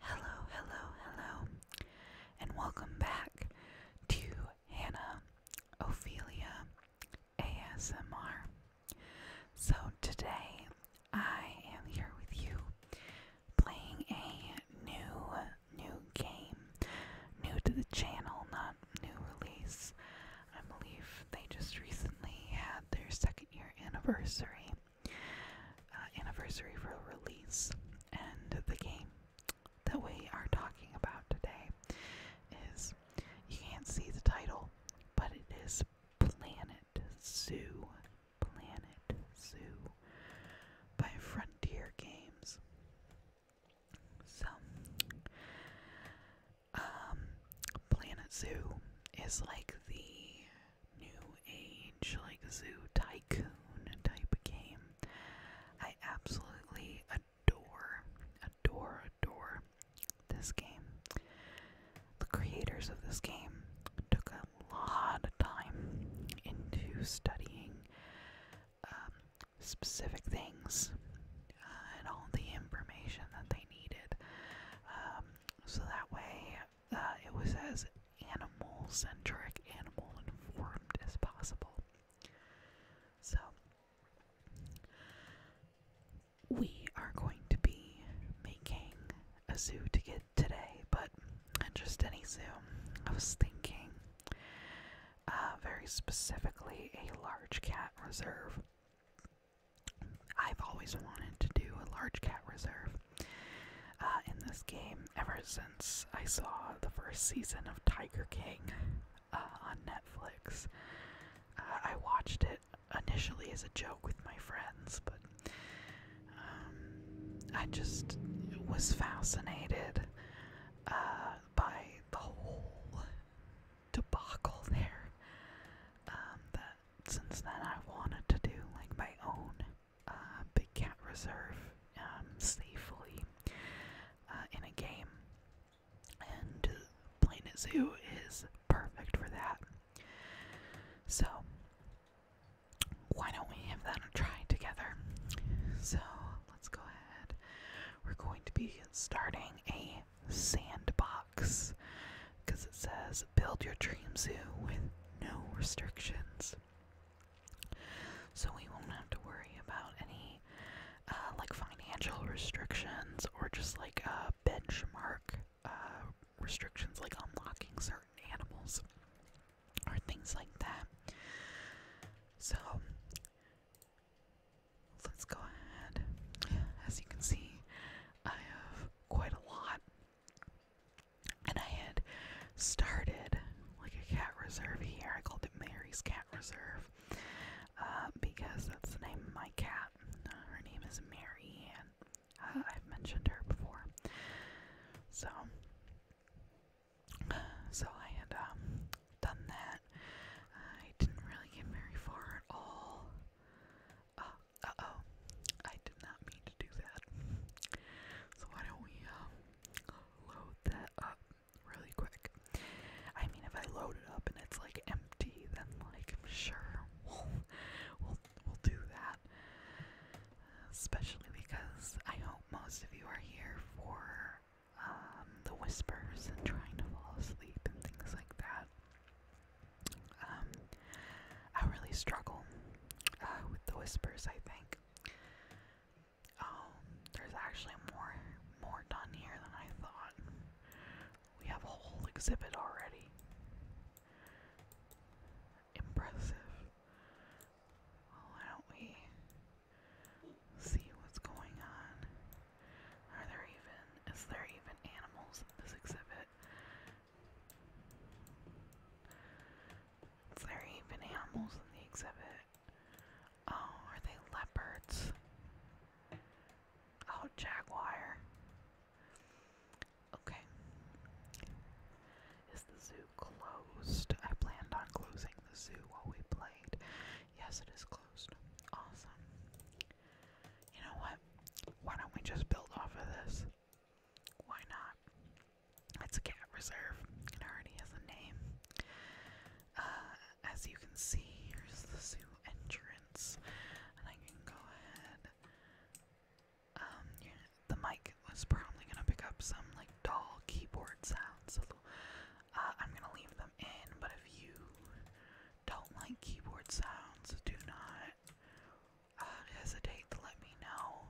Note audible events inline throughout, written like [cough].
Hello, hello, hello, and welcome back to Hannah Ophelia ASMR. So, today I am here with you playing a new, new game, new to the channel, not new release. I believe they just recently had their second year anniversary, uh, anniversary for release, and the game that we are talking about today is you can't see the title, but it is Planet Zoo, Planet Zoo by Frontier Games. So, um, Planet Zoo is like the new age, like zoo tycoon type of game. I absolutely adore, adore, adore this game. The creators of this game took a lot of time into studying um, specific things uh, and all the information that they needed. Um, so that way uh, it was as animal centric, animal informed as possible. So, we are going to be making a zoo to get today, but just any zoo. I was thinking uh, very specifically a large cat reserve. I've always wanted to do a large cat reserve uh, in this game ever since I saw the first season of Tiger King uh, on Netflix. Uh, I watched it initially as a joke with my friends, but um, I just was fascinated by the whole debacle there um, since then I wanted to do like my own uh, big cat reserve um, safely uh, in a game, and Planet Zoo is perfect for that. So why don't we have that try together? So let's go ahead. We're going to be starting a sandbox because it says build your dream zoo with no restrictions. So we won't have to worry about any uh, like financial restrictions or just like a benchmark uh, restrictions like unlocking certain animals or things like that. So let's go ahead. As you can see, I have quite a lot. And I had started like a cat reserve here. I called it Mary's Cat Reserve uh, because that's the name of my cat. her name is Mary, and uh, I've mentioned her before. So, so I had um, done that. I didn't really get very far at all. Uh, oh, I did not mean to do that. So why don't we uh, load that up really quick? I mean, if I load it up and it's like empty, then like sure we'll we'll do that. Especially because I hope most of you are here for um, the whispers and trying to fall asleep and things like that. Um, I really struggle uh, with the whispers. I think. Um, there's actually more more done here than I thought. We have a whole exhibit already. Impressive. why don't we see what's going on? Are there even, is there even animals in this exhibit? Is there even animals in the exhibit? Oh, are they leopards? Oh, jaguar. Okay. Is the zoo closed? I planned on closing the zoo while we played. Yes, it is closed. Awesome. You know what? Why don't we just build off of this? Why not? It's a cat reserve. It already has a name. Uh, as you can see, here's the zoo entrance. And I can go ahead. Um, the mic was probably gonna pick up some like dull keyboard sounds, uh, I'm gonna leave them in. But if you don't like keyboard sounds, do not uh, hesitate to let me know.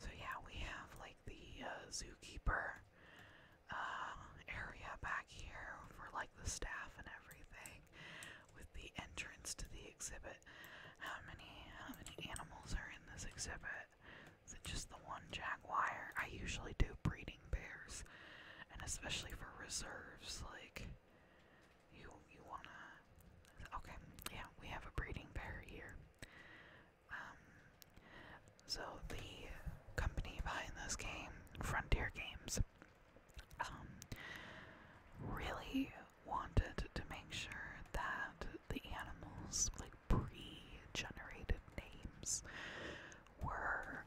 So, yeah, we have like the uh, zookeeper uh, area back here for like the staff and everything with the entrance to the exhibit. How many, how many animals are in this exhibit? Is it just the one jaguar? I usually do breeding bears, and especially for reserves, like you you wanna? Okay, yeah, we have a breeding pair here. Um, so the company behind this game, Frontier Games, um, really wanted to make sure that the animals, like pre-generated names, were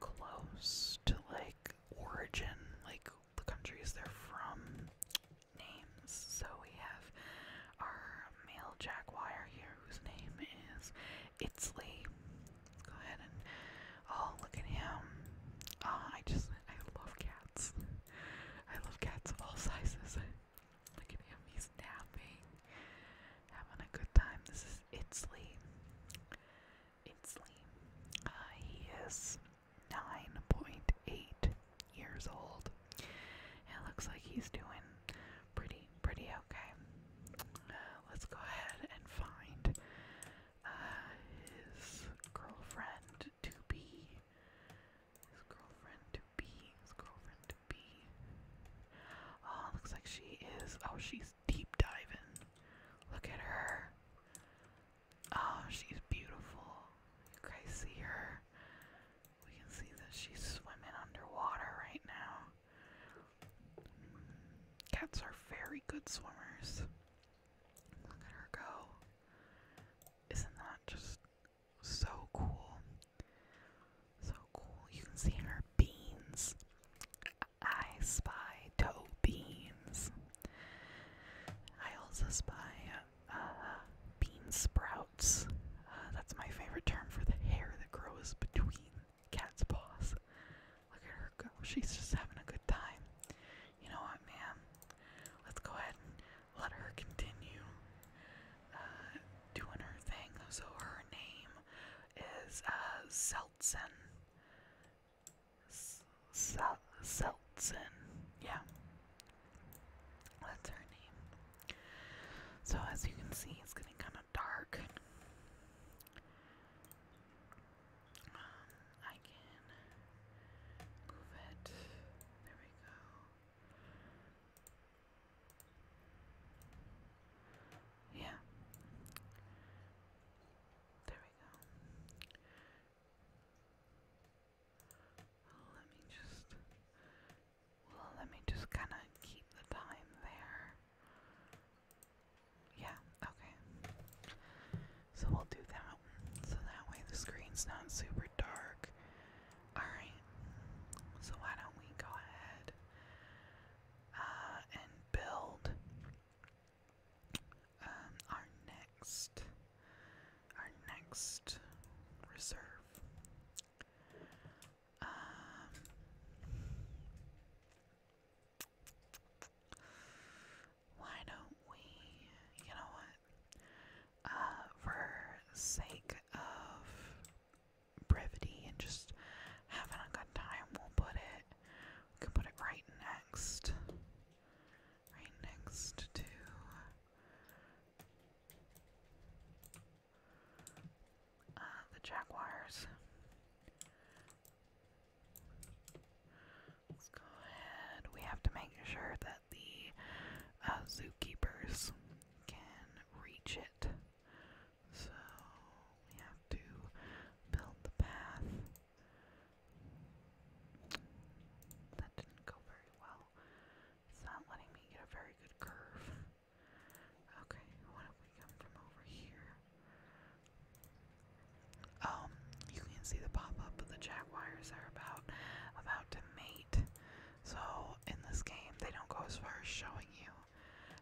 close to like origin, like the countries they're from, names. So we have our male jaguar here, whose name is Itzley. let go ahead and oh, look at him. Ah, I just I love cats. I love cats of all sizes. Look at him, he's napping, having a good time. This is Itzley. It's Uh, he is 9.8 years old. It looks like he's doing pretty, pretty okay. Uh, let's go ahead and find uh, his girlfriend to be. His girlfriend to be. His girlfriend to be. Oh, looks like she is. Oh, she's deep diving. Look at her. Oh, she's beautiful. You guys see her? We can see that she's swimming underwater right now. Cats are very good swimmers. Look at her go. Isn't that just so cool? So cool. You can see her beans. I spy toe beans. I also spy uh, bean sprouts. Uh, that's my favorite term for the hair that grows between cat's paws. Look at her go. She's just having a good time. You know what, man? Let's go ahead and let her continue uh, doing her thing. So her name is uh, Seltzen. Yeah. That's her name. So as you can see, it's getting kind of dark. Um, I can move it. There we go. Yeah. There let me just well, let me just kind of keep the time there. Yeah, okay. So we'll do that. So that way the screen's not super dark. Alright. So why don't we go ahead uh, and build um, our next, our next reserve. Um, why don't we? You know what? Uh, for sake of brevity and just having a good time, we'll put it we can put it right next. Right next to uh, the Jaguars. Let's go ahead. We have to make sure that the uh, zookeepers can reach it. So we have to build the path that didn't go very well. It's not letting me get a very good curve. Okay, what if we come from over here? Um, you can see the pop-up the jaguars are about about to mate. So in this game, they don't go as far as showing you.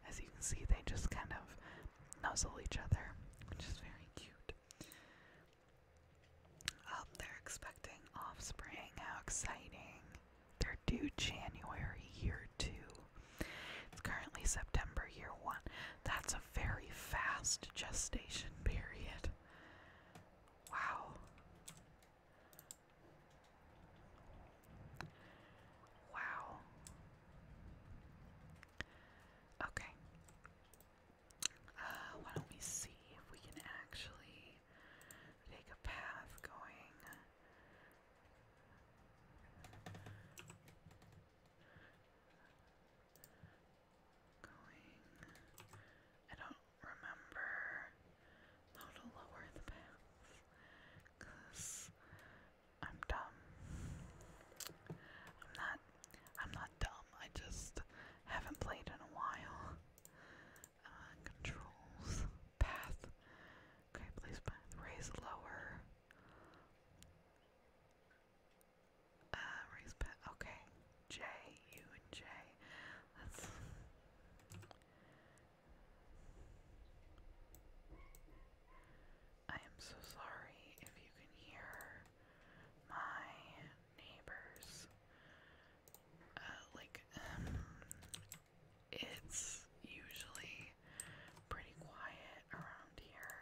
As you can see, they just kind of nuzzle each other, which is very cute. Oh, they're expecting offspring. How exciting! They're due January year two. It's currently September year one. That's a very fast gestation period. Wow. Wow. Okay. Uh, why don't we see if we can actually take a path going going I don't remember how to lower the path because I'm dumb. I'm not I'm not dumb, I just haven't played in a while. Uh, controls. Path. Okay, please path. Raise lower. Uh, raise path. Okay. J, U and J. I am so sorry if you can hear my neighbors. Uh, like, um, it's usually pretty quiet around here.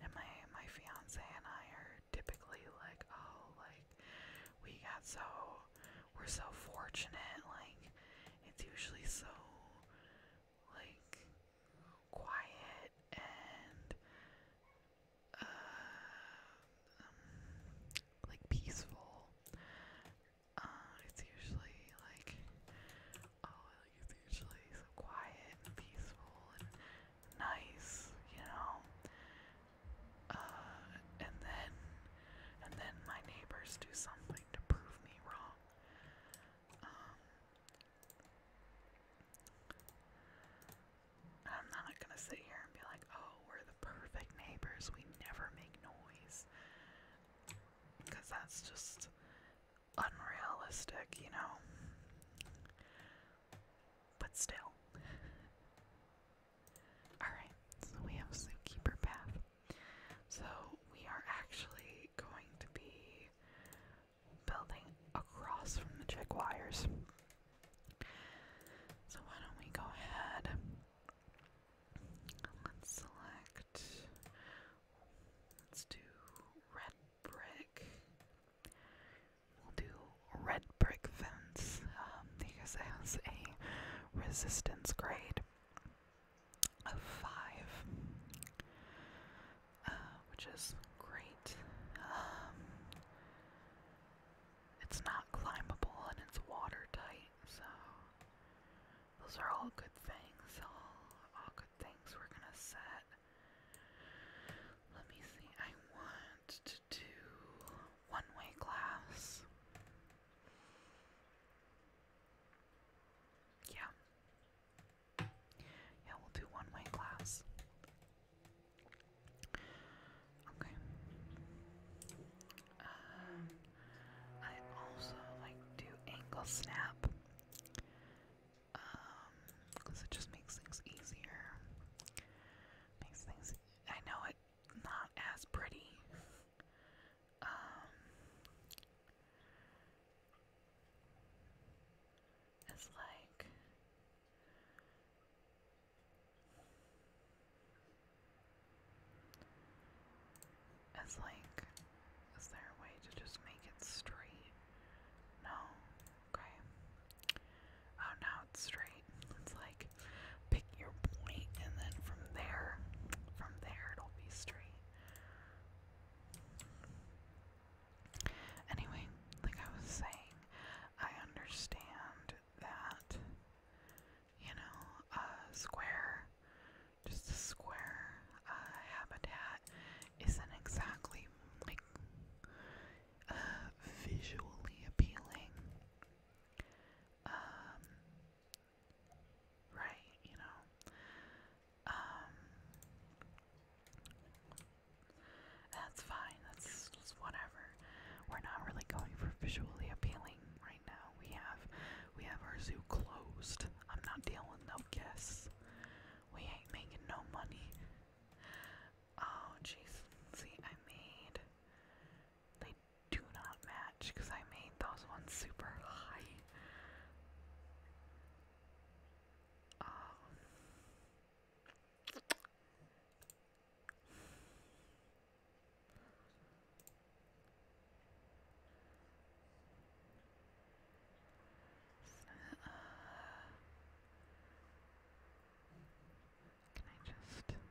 And my my fiance and I are typically like, oh, like we got so we're so fortunate. Like it's usually so like quiet and uh, um, like peaceful. Uh, it's usually like oh, it's usually so quiet and peaceful and nice, you know. Uh, and then and then my neighbors do something to prove me wrong. Um, I'm not gonna sit here and be like, oh, we're the perfect neighbors, we never make noise. Because that's just unrealistic, you know? But still. Alright, so we have Zookeeper Path. So we are actually going to be building across from the check wires. So why don't we go ahead? Let's select. Let's do red brick. We'll do red brick fence um, because it has a resistance grade a five, uh, which is great. Um, it's not climbable and it's watertight, so those are all good things. All, all good things we're gonna set. Let me see, I want to do one-way glass. Yeah, yeah, we'll do one way class. Okay. Um, I also like to angle snap. Um, because it just makes things easier. Makes things. I know it's not as pretty. Um, is like is like is there a way to just make it straight? No. Okay. Oh now it's straight. It's like pick your point and then from there from there it'll be straight. Anyway, like I was saying, I understand that, you know, a square, just a square habitat isn't exactly like uh, visually appealing. Um, right, you know. Um, that's fine. That's whatever. We're not really going for visually appealing right now. We have, we have our zoo closed. I'm not dealing with no guests. We ain't making no money. Oh jeez. See, I made. They do not match because I made those ones super high can I just?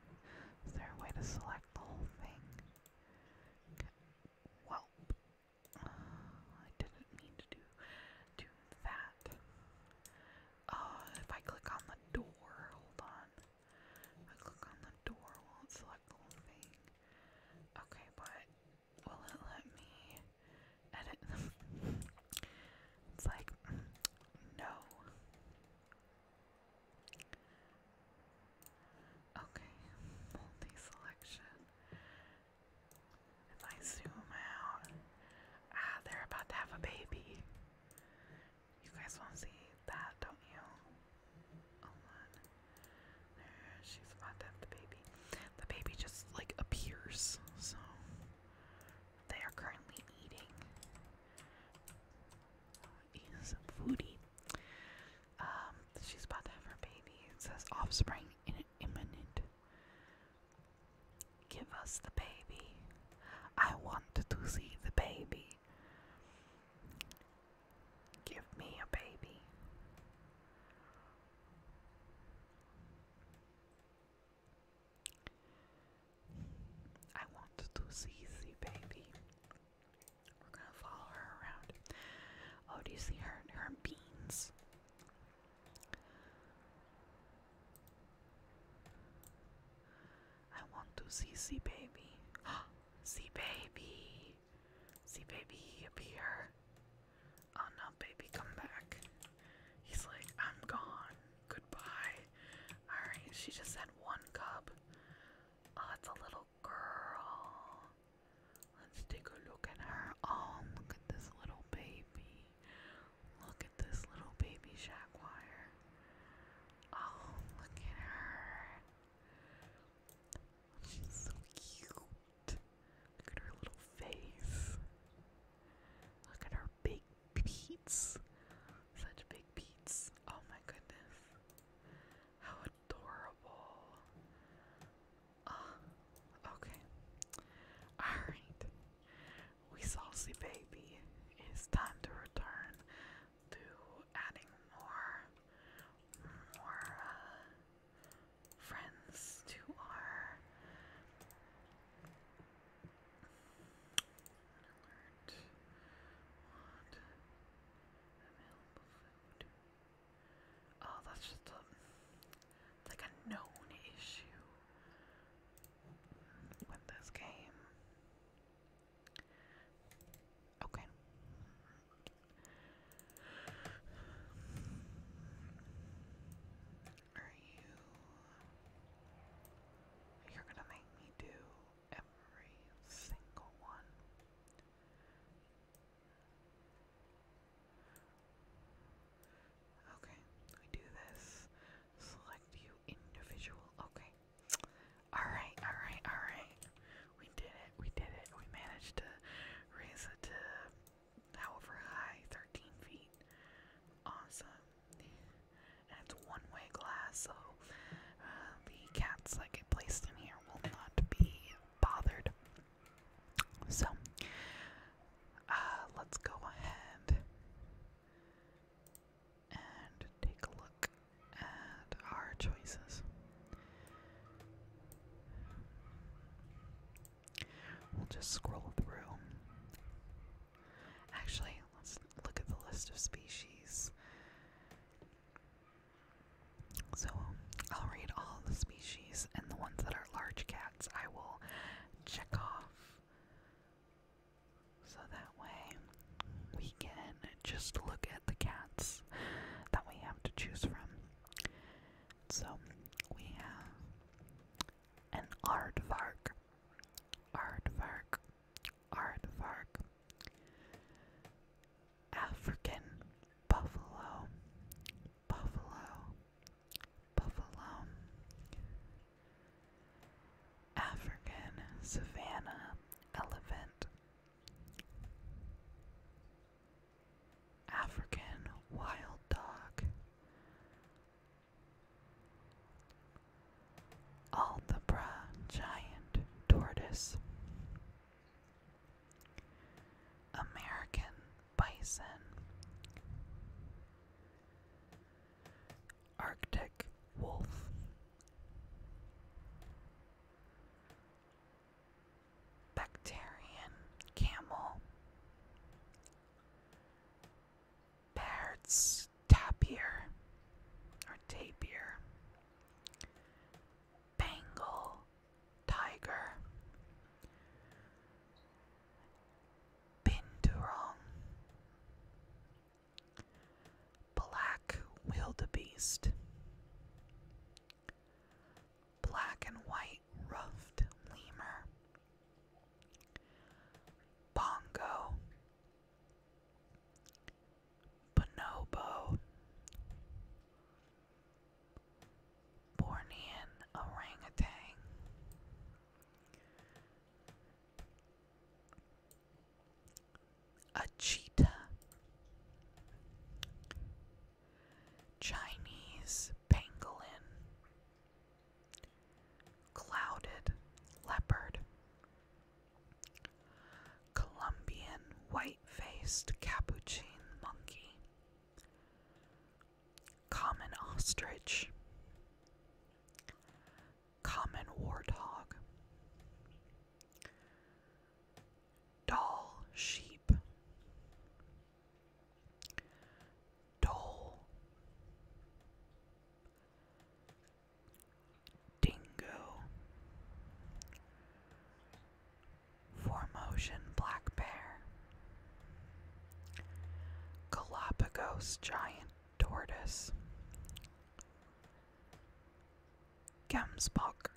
Is there a way to select the whole thing? Well, [sighs] I didn't mean to do, do that. Oh, if I click on the door, hold on. I click on the door, will it select the whole thing? Okay, but will it let me edit [laughs] it's like, mm, no. Okay, multi selection. If I zoom out, ah, they're about to have a baby. You guys want to see that, don't you? Hold on. she's about to have the baby. The baby just like appears, so they are currently eating. Uh, eating foodie. Um, she's about to have her baby. It says offspring imminent. Give us the baby. I want to see the baby. Give me a baby. I want to see the baby. We're gonna follow her around. Oh, do you see her her beans? I want to see C baby. see [gasps] baby. See baby appear. Oh no, baby, come back. He's like, I'm gone. Goodbye. Alright, she just had one cub. Oh, it's a little girl. Let's take a look at her. Oh, look at this little baby. Look at this little baby jaguar. Oh, look at her. She's so cute. Look at her little face. Look at her big beats. Such big beats. Oh my goodness. How adorable. Uh, okay. Alright. We saucy baby. It's time to return to adding more more uh, friends to our alert. What available food? Oh, that's just a, um, like a known issue with this game. Okay. Are you. You're gonna make me do every single one. Okay, we do this. Select you individual. Okay. Alright, alright, alright. We did it, we did it. We managed to raise it to however high, 13 feet. Awesome. And it's one way glass, so uh, the cats like, get placed in here will not be bothered. So, uh, let's go ahead and take a look at our choices. We'll just scroll through. Actually, let's look at the list of species. So I'll read all the species and the ones that are large cats I will check off. So that way we can just look at the cats that we have to choose from. So we have an aardvark, aardvark, aardvark, African buffalo, Buffalo, Buffalo, African Savannah Elephant, African Wild Dog. Algebra giant tortoise American bison, Arctic wolf, Bacterian camel, Baird's tapir or tapir, Bengal tiger. Binturong. Black wildebeest. Black and white ruffed lemur. Bongo. Bonobo. Bornean orangutan. A cheetah. Chinese pangolin. Clouded leopard. Colombian white faced capuchin monkey. Common ostrich, common warthog, doll sheep, dole, dingo, Formosan black bear, Galapagos giant tortoise, Gemsbok,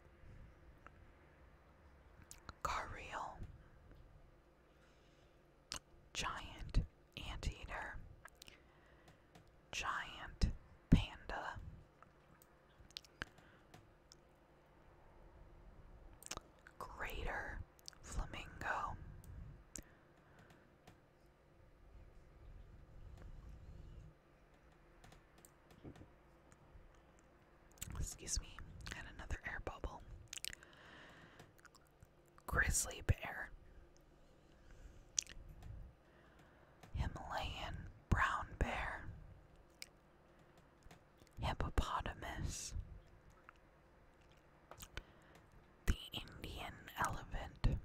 Carreal, giant anteater, giant panda, Greater Flamingo. Excuse me, and another air bubble. Grizzly bear. Himalayan brown bear hippopotamus, the Indian elephant,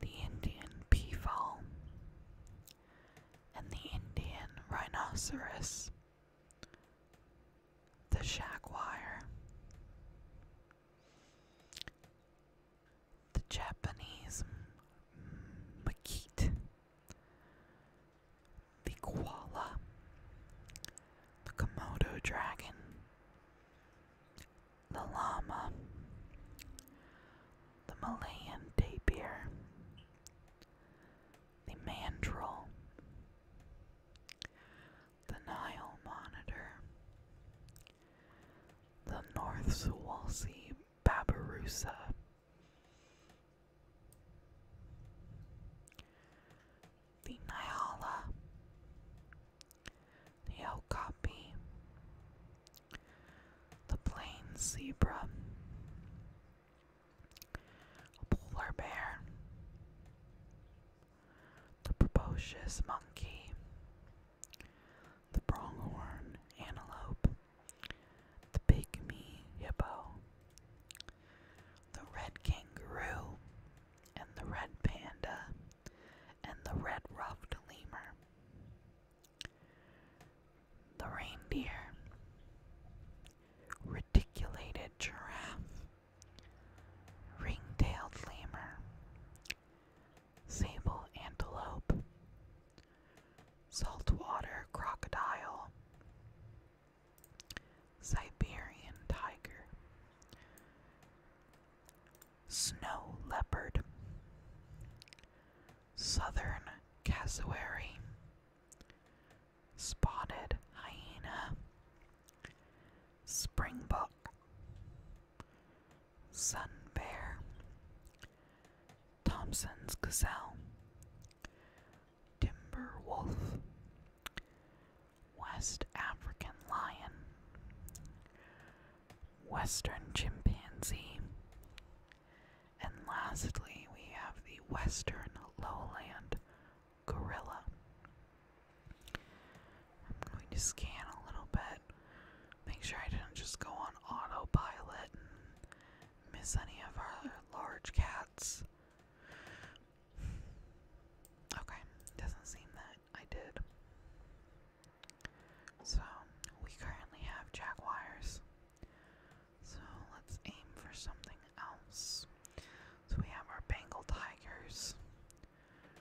the Indian peafowl, and the Indian rhinoceros, the jaguar, the Japanese maquite, the koala, the Komodo dragon, the llama, the Malayan tapir, the mandrill, the Nile monitor, the North Sewalsea babirusa, the Nyala, the Okapi, the plain zebra, a polar bear, the precocious monkey, the pronghorn antelope, the pygmy hippo, the red kangaroo, and the red panda, and the red ruffed lemur, the reindeer, reticulated giraffe, ring-tailed lemur, sable antelope, saltwater crocodile, Siberian tiger, snow leopard, southern cassowary, spotted hyena, springbok, sun bear, Thompson's Gazelle, Timber Wolf, West African Lion, Western Chimpanzee, and lastly we have the Western Lowland Gorilla. I'm going to scan a little bit, make sure I didn't just go on autopilot miss any of our large cats. Okay, doesn't seem that I did. So, we currently have jaguars. So, let's aim for something else. So, we have our Bengal tigers.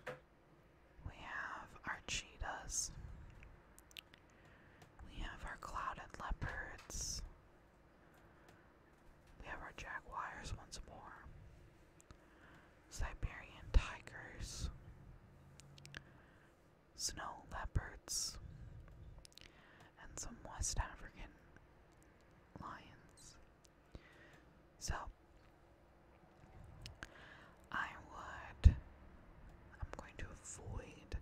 We have our cheetahs. We have our clouded leopards. We have our jaguars once more. Siberian tigers. Snow leopards. And some West African lions. So, I would. I'm going to avoid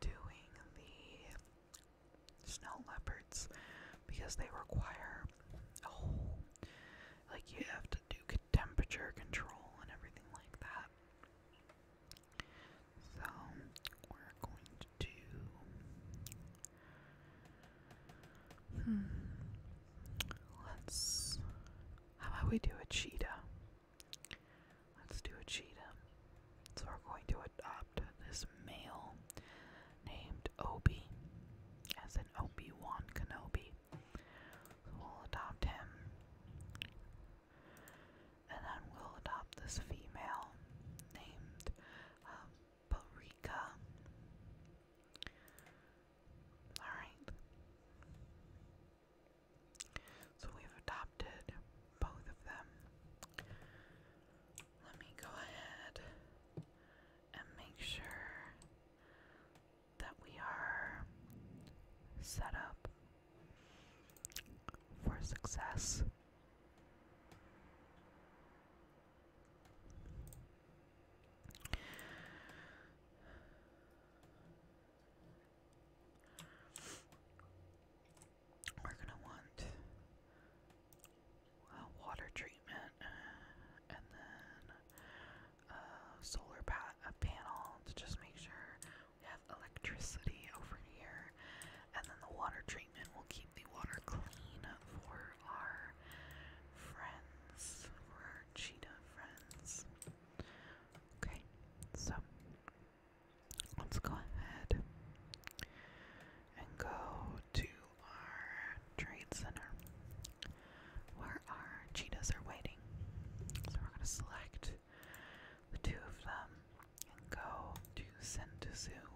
doing the snow leopards because they require oh, like you have to do temperature control and everything like that. So we're going to do. Hmm, let's. How about we do a cheetah? Let's do a cheetah. So we're going to adopt this male named Obi, as in Obi Wan Kenobi. we'll adopt him, and then we'll adopt this female named um, Barika. All right. So we've adopted both of them. Let me go ahead and make sure that we are set up for success. We're gonna want a water treatment and then a solar pa a panel to just make sure we have electricity over here. And then the water treatment will keep the water clean for our friends, for our cheetah friends. Okay, so let's go ahead and go to our trade center where our cheetahs are waiting. So we're going to select the two of them and go to send to zoo.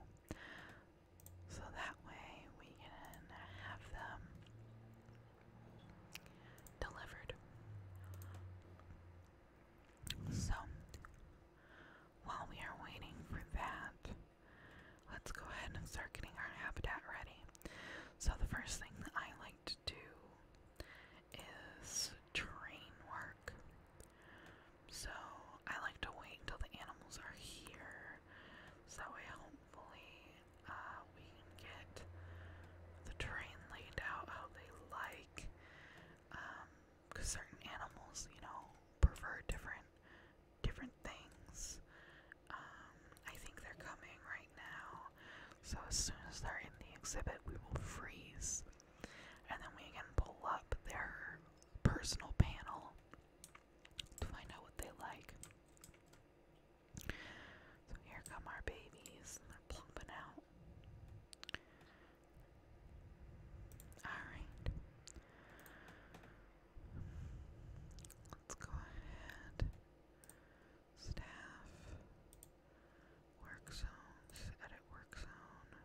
So that way we can have them delivered. So, while we are waiting for that, let's go ahead and start getting our habitat ready. So, the first thing that I like to do is train work. So, I like to wait until the animals are here, so that way, hopefully, uh, we can get the train laid out how they like. Um, because certain animals, you know, prefer different different things. Um, I think they're coming right now, so as soon as they're in the exhibit, we will freeze, and then we can pull up their personal panel to find out what they like. So here come our babies, they're plumping out. Alright. Let's go ahead. Staff. Work zones. Edit work zone.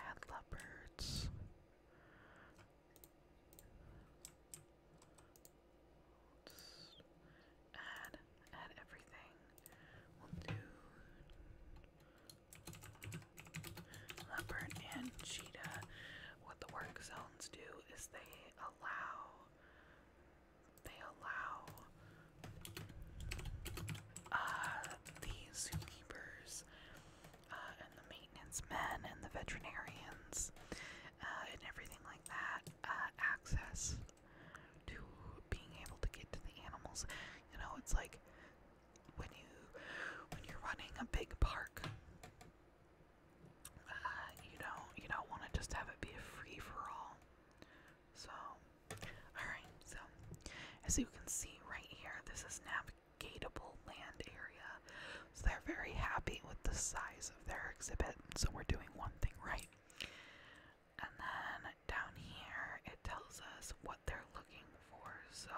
Add leopards. Let's add add everything. We'll do leopard and cheetah. What the work zones do is they allow they allow uh, the zookeepers uh, and the maintenance men and the veterinarians uh, and everything like that uh, access to being able to get to the animals. You know, it's like when you when you're running a big park, uh, you don't you don't want to just have it be a free for all. So, all right. So, as you can see right here, this is navigable land area. So they're very happy with the size of their exhibit. So we're doing one thing right and then down here it tells us what they're looking for. So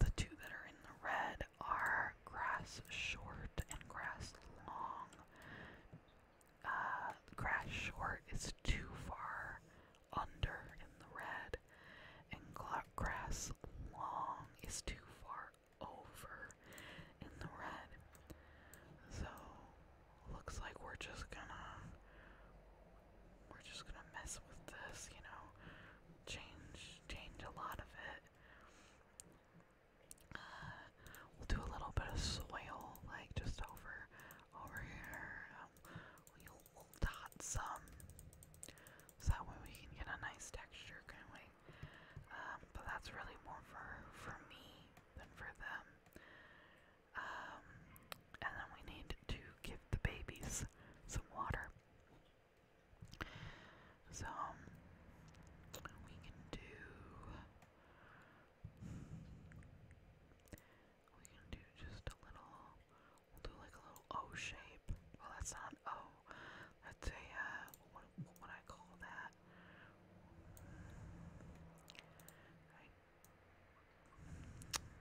the two that are in the red are grass short and grass long. Uh, grass short is too far under in the red, and grass long is too far over in the red. So looks like we're just gonna we're just gonna mess with this, you know, change change a lot of it. Uh, we'll do a little bit of soil, like just over over here. Um, we'll, we dot some, so that way we can get a nice texture, can we? Um, but that's really more for for me than for them. Um, and then we need to give the babies some water. So, um, we can do. We can do just a little. We'll do like a little O shape. Well, that's not O. That's a, uh, what, would I call that?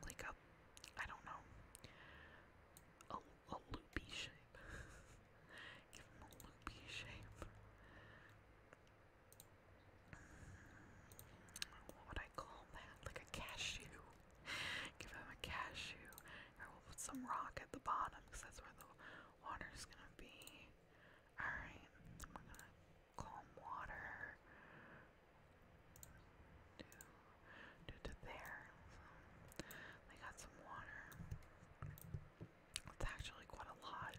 like a I don't know a, a loopy shape. [laughs] Give him a loopy shape. What would I call that? Like a cashew. Give him a cashew. Or we'll put some rock at the bottom because that's where the water's gonna be. Alright, calm water due, to there. So got some water. It's actually quite a lot.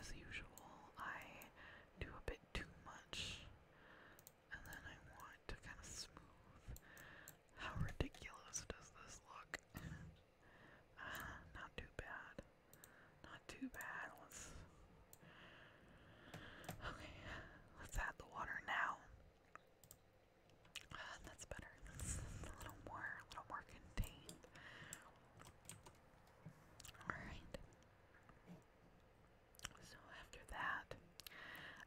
as usual, I do a bit too much, and then I want to kind of smooth. How ridiculous does this look? Uh, not too bad. Not too bad. Let's. Okay, let's add the water now. Uh, that's better. That's a little more, a little more contained. All right. So after that,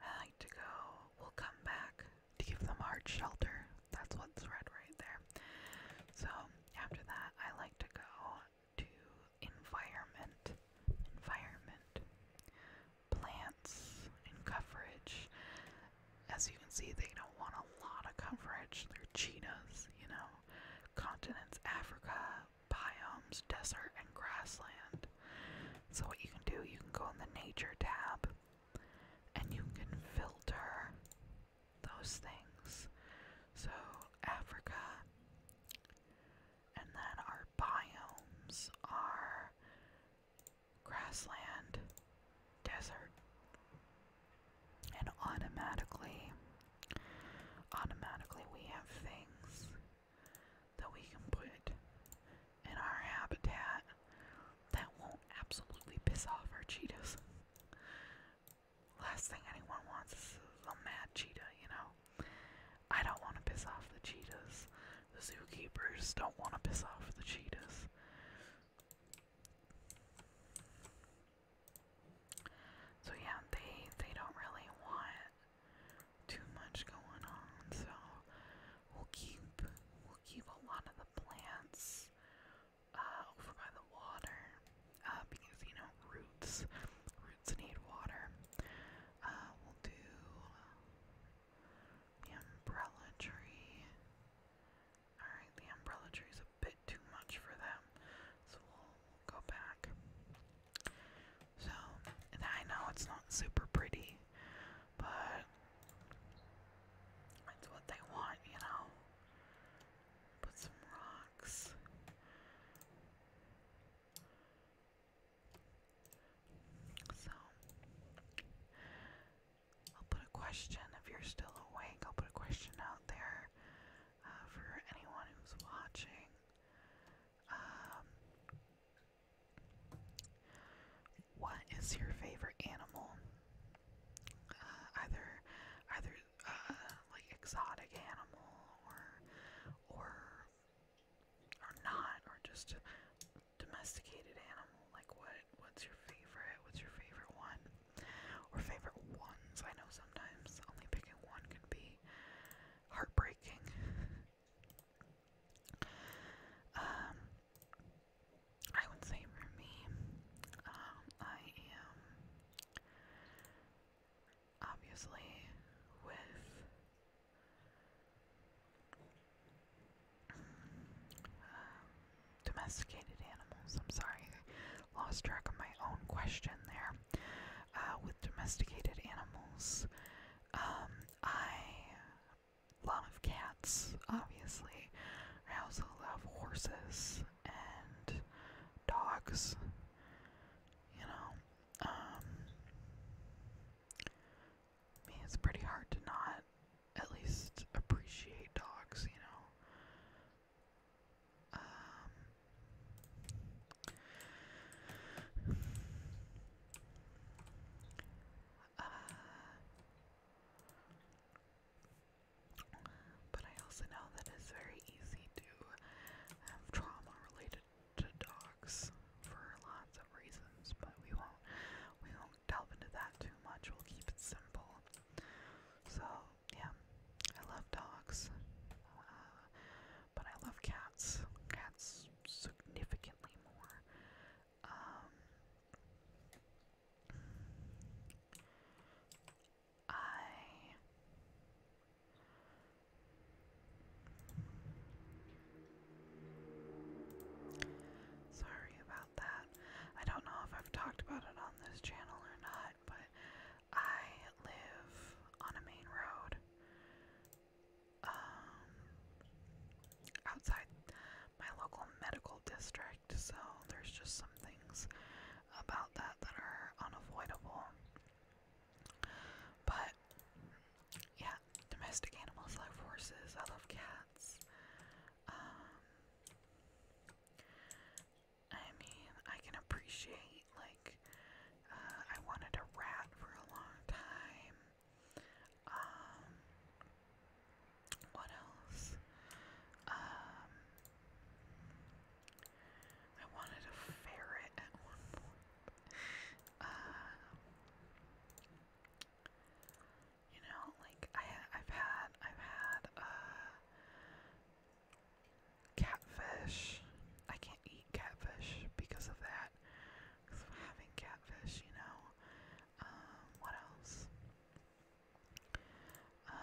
I like to go. We'll come back to give them hard shelter. That's what's red right there. So after that, I like to go to environment, environment, plants, and coverage. As you can see, they don't want a lot of coverage. They're cheetahs, you know. Continents, Africa, biomes, desert, and grassland. So, what you can do, you can go in the nature tab and you can filter those things. So, Africa, and then our biomes are grassland, desert, and automatically, automatically we have things that we can put in our habitat that won't absolutely piss off our cheetahs. Last thing anyone wants is a mad cheetah, you know? I don't want to piss off the cheetahs. The zookeepers don't want to piss off the cheetahs. So yeah, they they don't really want too much going on, so we'll keep we'll keep a lot of the plants uh, over by the water uh, because you know roots roots need water. Uh, we'll do uh, umbrella tree. Alright, the umbrella tree is a bit too much for them, so we'll, go back. So, I know it's not super pretty, but it's what they want, you know? Put some rocks. So, I'll put a question if you're still awake. I'll put a question out there uh, for anyone who's watching. Um, what is your favorite animal? Uh, either either uh, like exotic animal or or or not or just domesticated animal like what what's your favorite what's your favorite one or favorite ones I know sometimes only picking one can be heartbreaking [laughs] um, I would say for me, um, I am obviously with domesticated animals. I'm sorry, lost track of my own question there. Uh, with domesticated animals, um, I love cats cats, obviously. I also love horses and dogs. You know, um, I mean, it's pretty hard to not at least appreciate dogs, you know. Um, uh, but I also know that it's very easy to have trauma related to dogs for lots of reasons, but we won't we won't delve into that too much. We'll keep it simple. So yeah, I love dogs, uh, but I love cats. Cats significantly more. Um, I Sorry about that. I don't know if I've talked about it on this channel or not, but I live on a main road. Um outside my local medical district, so there's just some things about that that are unavoidable. But yeah, domestic animals like horses. I love cats. Um, I mean, I can appreciate like uh, I wanted a rat for a long time. Um, what else? Um, I wanted a ferret at one point. Uh, you know, like I ha I've had I've had uh catfish. I can't eat catfish because of that. Because of having catfish, you know. Um, what else? Um,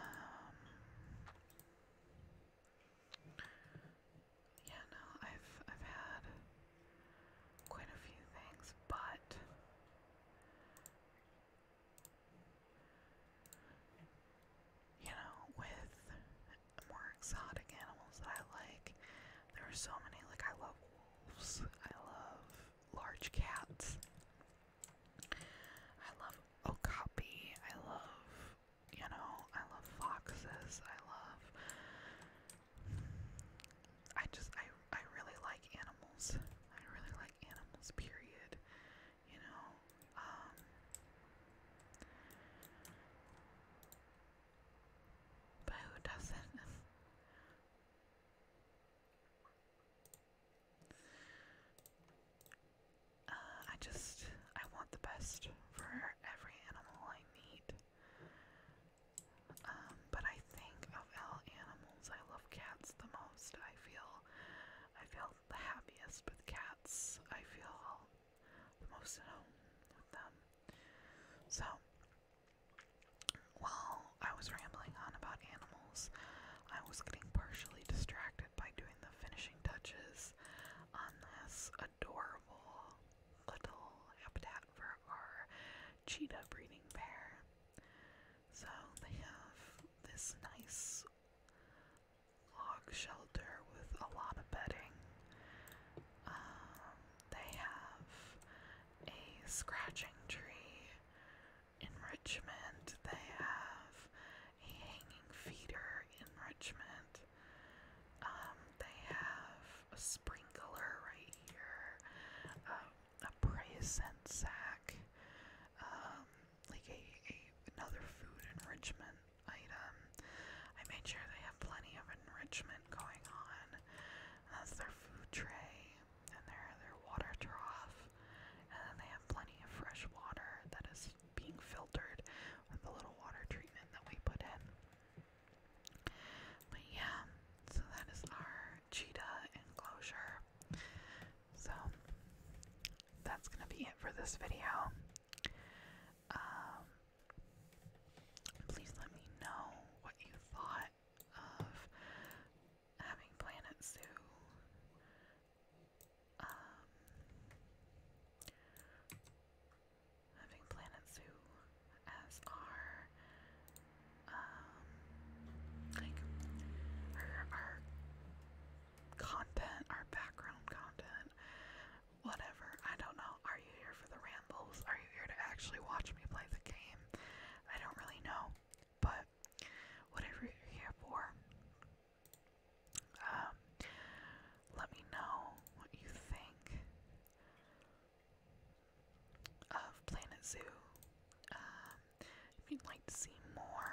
yeah, no, I've I've had quite a few things, but you know, with more exotic animals that I like, there are so many. Like I love wolves. I love large cats. I love okapi. I love, you know, I love foxes. I love. I just, I, I really like animals. I really like animals, period. You know, um, But who doesn't? [laughs] Uh, I just, I want the best for every animal I meet. Um, but I think of all animals, I love cats the most. I feel, I feel the happiest with cats. I feel the most at home with them. So, well, I was rambling on about animals. I was getting partially distracted by doing the finishing touches on this adorable little habitat for our cheetah breeding pair. So they have this nice log shelter with a lot of bedding. Um, they have a scratching tree in Richmond, they have a hanging feeder in Um, they have a sprinkler right here, um, a prey sack, um, like a another food enrichment item. I made sure they have plenty of enrichment going on. That's their food tray and their their water trough, and then they have plenty of fresh water that is being filtered with the little water treatment that we put in. But yeah, so that is our cheetah enclosure. So that's gonna be it for this video. Um, please let me know what you thought of having Planet Um, having Planet as our um, like our, our content, our background content, whatever. I don't know. Are you here for the rambles? Are you here to actually watch me play the game? I don't really know, but whatever you're here for, um, let me know what you think of Planet Zoo. Um, if you'd like to see more,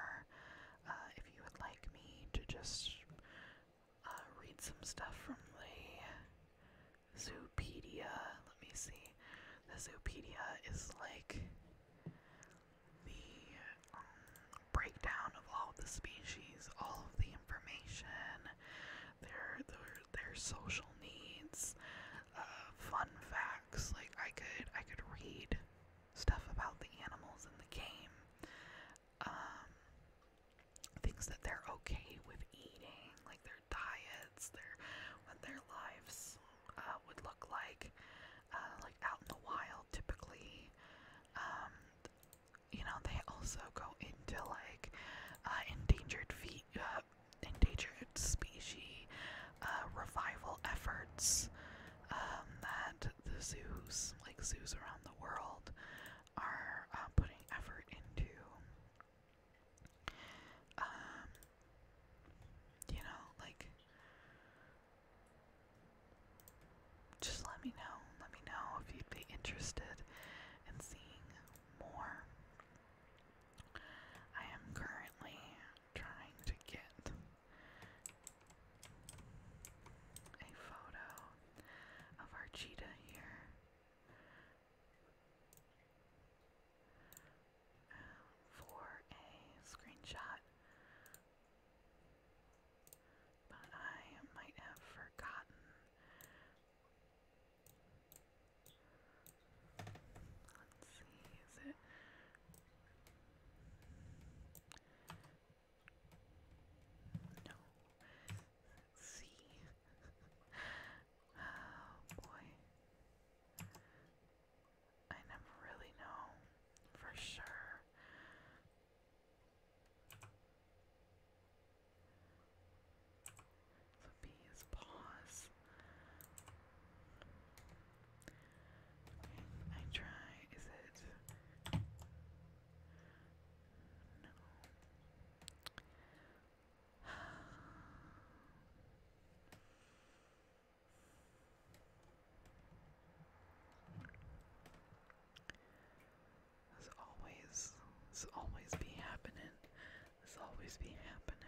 uh, if you would like me to just uh, read some stuff from the Zoopedia, let me see. The Zoopedia is like the um, breakdown of all the species, all of the information, their their their social needs, uh, fun facts. Like I could I could read stuff about the animals in the game, um, things that they're okay with eating, like their diets, their when their lives uh, would look like, uh, like out in the wild typically. Um, you know, they also go into like uh, endangered endangered species revival efforts um, that the zoos, like zoos around the world, are putting effort into. Um, you know, like just let me know. Let me know if you'd be interested in seeing more. I am currently trying to get a photo of our cheetah here um, for a screenshot, but I might have forgotten. Let's see, is it? No. Let's see. [laughs] oh boy. I never really know for sure. So B is pause. I try. Is it? No. This always, this always be happening. This always be happening.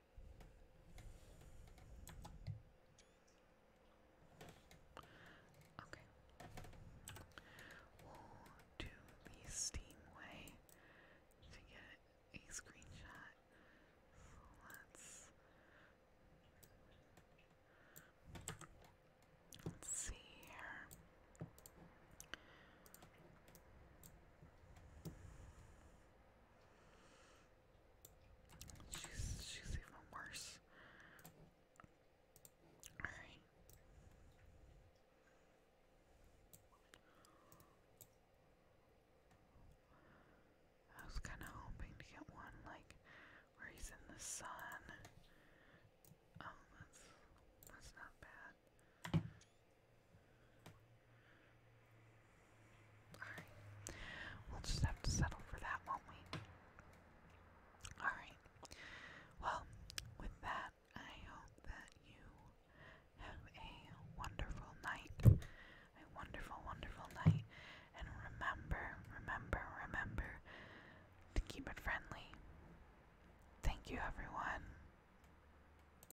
Okay. We'll do the Steam way to get a screenshot. So let's let's see here. She's she's even worse. All right. I was kind of hoping to get one like where he's in the sun. Um, that's that's not bad. Alright. We'll just have to settle for that, won't we? Alright. Well, with that, I hope that you have a wonderful night. A wonderful, wonderful night. And remember, remember, remember to keep it friendly. Thank you, everyone.